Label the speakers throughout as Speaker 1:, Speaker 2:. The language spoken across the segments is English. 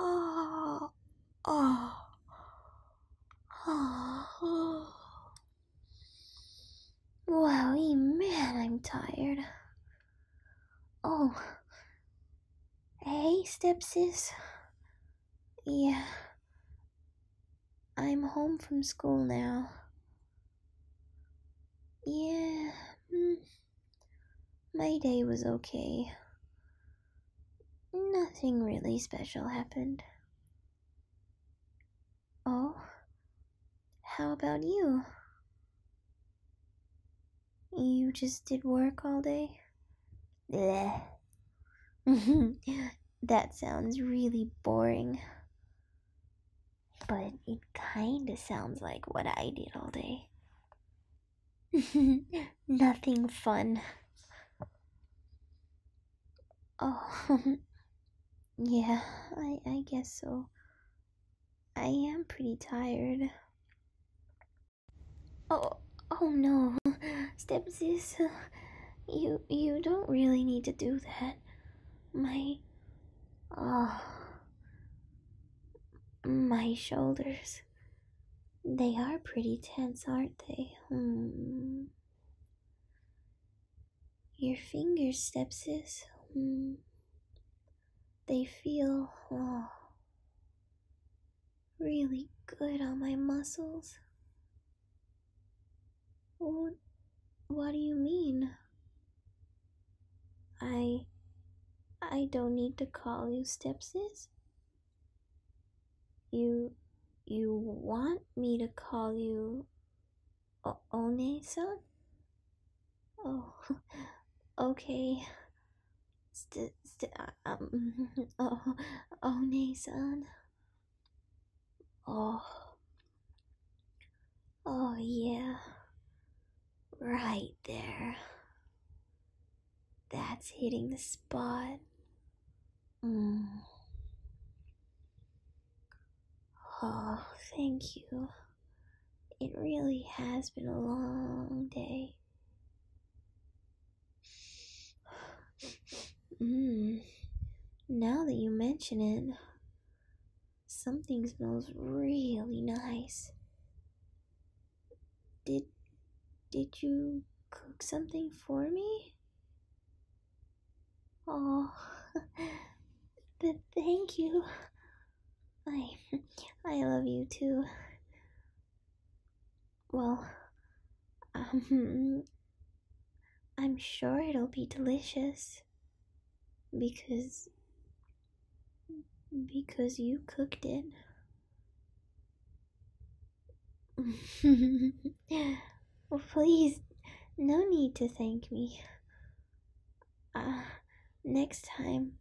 Speaker 1: Oh, oh, oh. Wowie, man, I'm tired. Oh, hey, stepsis. Yeah, I'm home from school now. Yeah. Mm. My day was okay. Nothing really special happened. Oh, how about you? You just did work all day? Bleh. that sounds really boring but it kinda sounds like what I did all day. Nothing fun. Oh, yeah, I, I guess so. I am pretty tired. Oh, oh no, sis, you you don't really need to do that. My, oh, my shoulders. They are pretty tense, aren't they? Hmm. Your finger stepsis. Hmm. They feel oh, really good on my muscles. Oh, what do you mean? I. I don't need to call you stepsis? You. You want me to call you. O- One san? Oh. Okay. St- st- um. Oh. One Oh. Oh, yeah. Right there. That's hitting the spot. Mm. Oh, thank you. It really has been a long day. Mm. Now that you mention it, Something smells really nice. Did did you cook something for me? Oh, but thank you. I I love you too. Well, um, I'm sure it'll be delicious because because you cooked it. well, please, no need to thank me. Uh, next time,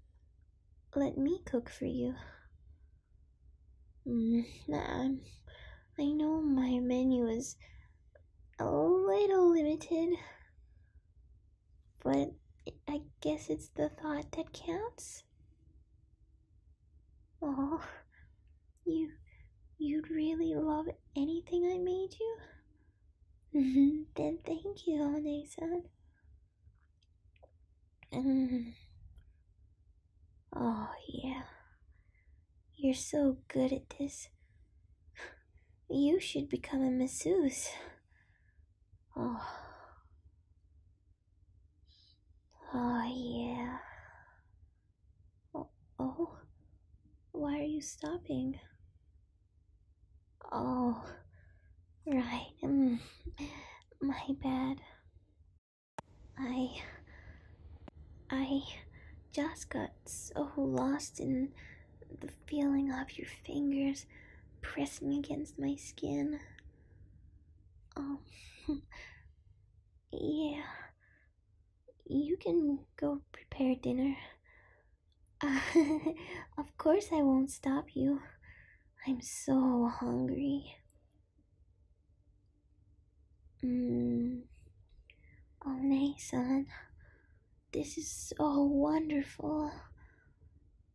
Speaker 1: let me cook for you. Mm, I know my menu is a little limited, but I guess it's the thought that counts. Oh, you, you'd really love anything I made you? then thank you, Onexan. Mm. Oh, yeah. You're so good at this. You should become a masseuse. Oh. Oh, yeah. Oh, oh. Why are you stopping? Oh, right. Mm. My bad. I. I just got so lost in the feeling of your fingers pressing against my skin. Um. yeah. You can go prepare dinner. of course, I won't stop you. I'm so hungry. Mm. Oh, Nathan, this is so wonderful.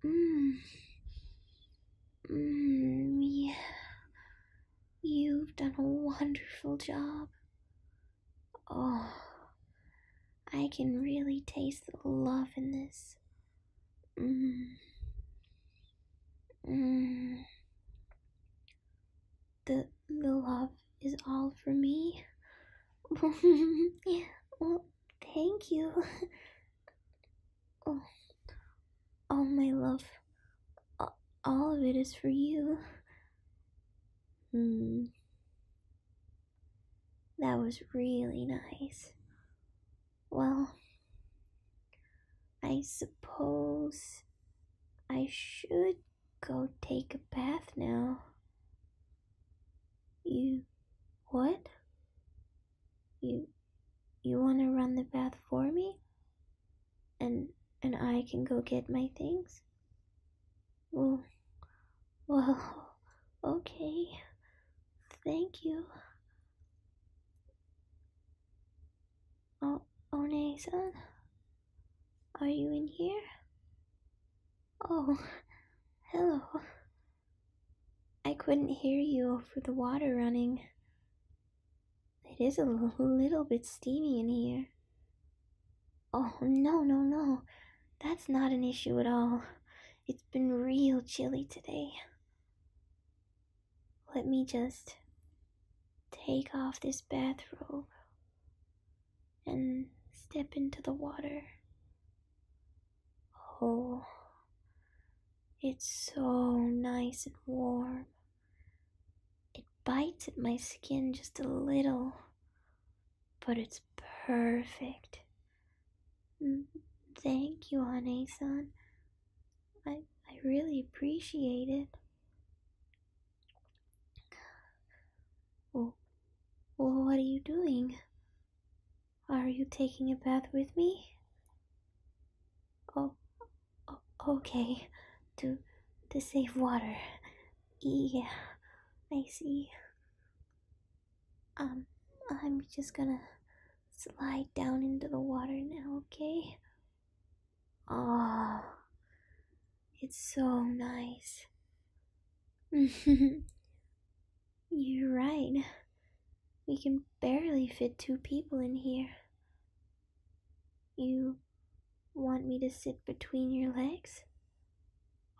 Speaker 1: Mm. Mm, yeah. You've done a wonderful job. Oh, I can really taste the love in this. Mm. The, the love is all for me. well, thank you. Oh, all my love, all of it is for you. Hmm. That was really nice. Well, I suppose I should go take a bath now. You what? You you want to run the bath for me? And and I can go get my things? Well, well, okay. Thank you. Oh, One-san? Are you in here? Oh, hello. I couldn't hear you over the water running. It is a little bit steamy in here. Oh, no, no, no. That's not an issue at all. It's been real chilly today. Let me just take off this bathrobe and step into the water. Oh, it's so nice and warm. It bites at my skin just a little, but it's perfect. Mm, thank you, honey, son. I, I really appreciate it. Oh, what are you doing? Are you taking a bath with me? Oh, okay. To, to save water. Yeah, I see. Um, I'm just gonna slide down into the water now, okay? Oh, it's so nice. You're right. We can barely fit two people in here. You want me to sit between your legs?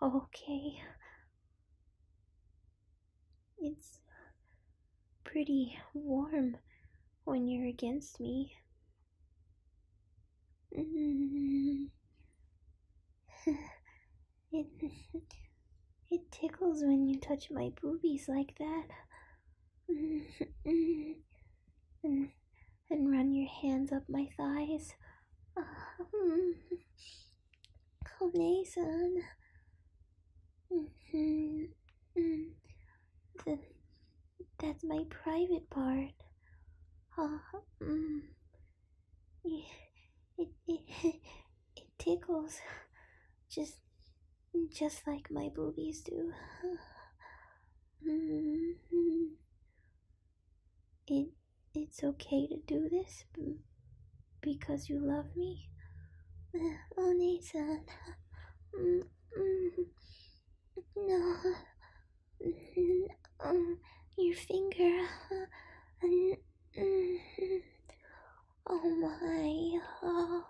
Speaker 1: Okay. It's pretty warm when you're against me. it, it tickles when you touch my boobies like that. and, and run your hands up my thighs. Combination. Mm-hmm. Mm -hmm. mm. that's my private part. Oh, mm. it, it, it, it tickles just just like my boobies do. -hmm. It it's okay to do this because you love me? Oh, Nathan. Mm, mm. No. no. Um, your finger. Oh my. Oh.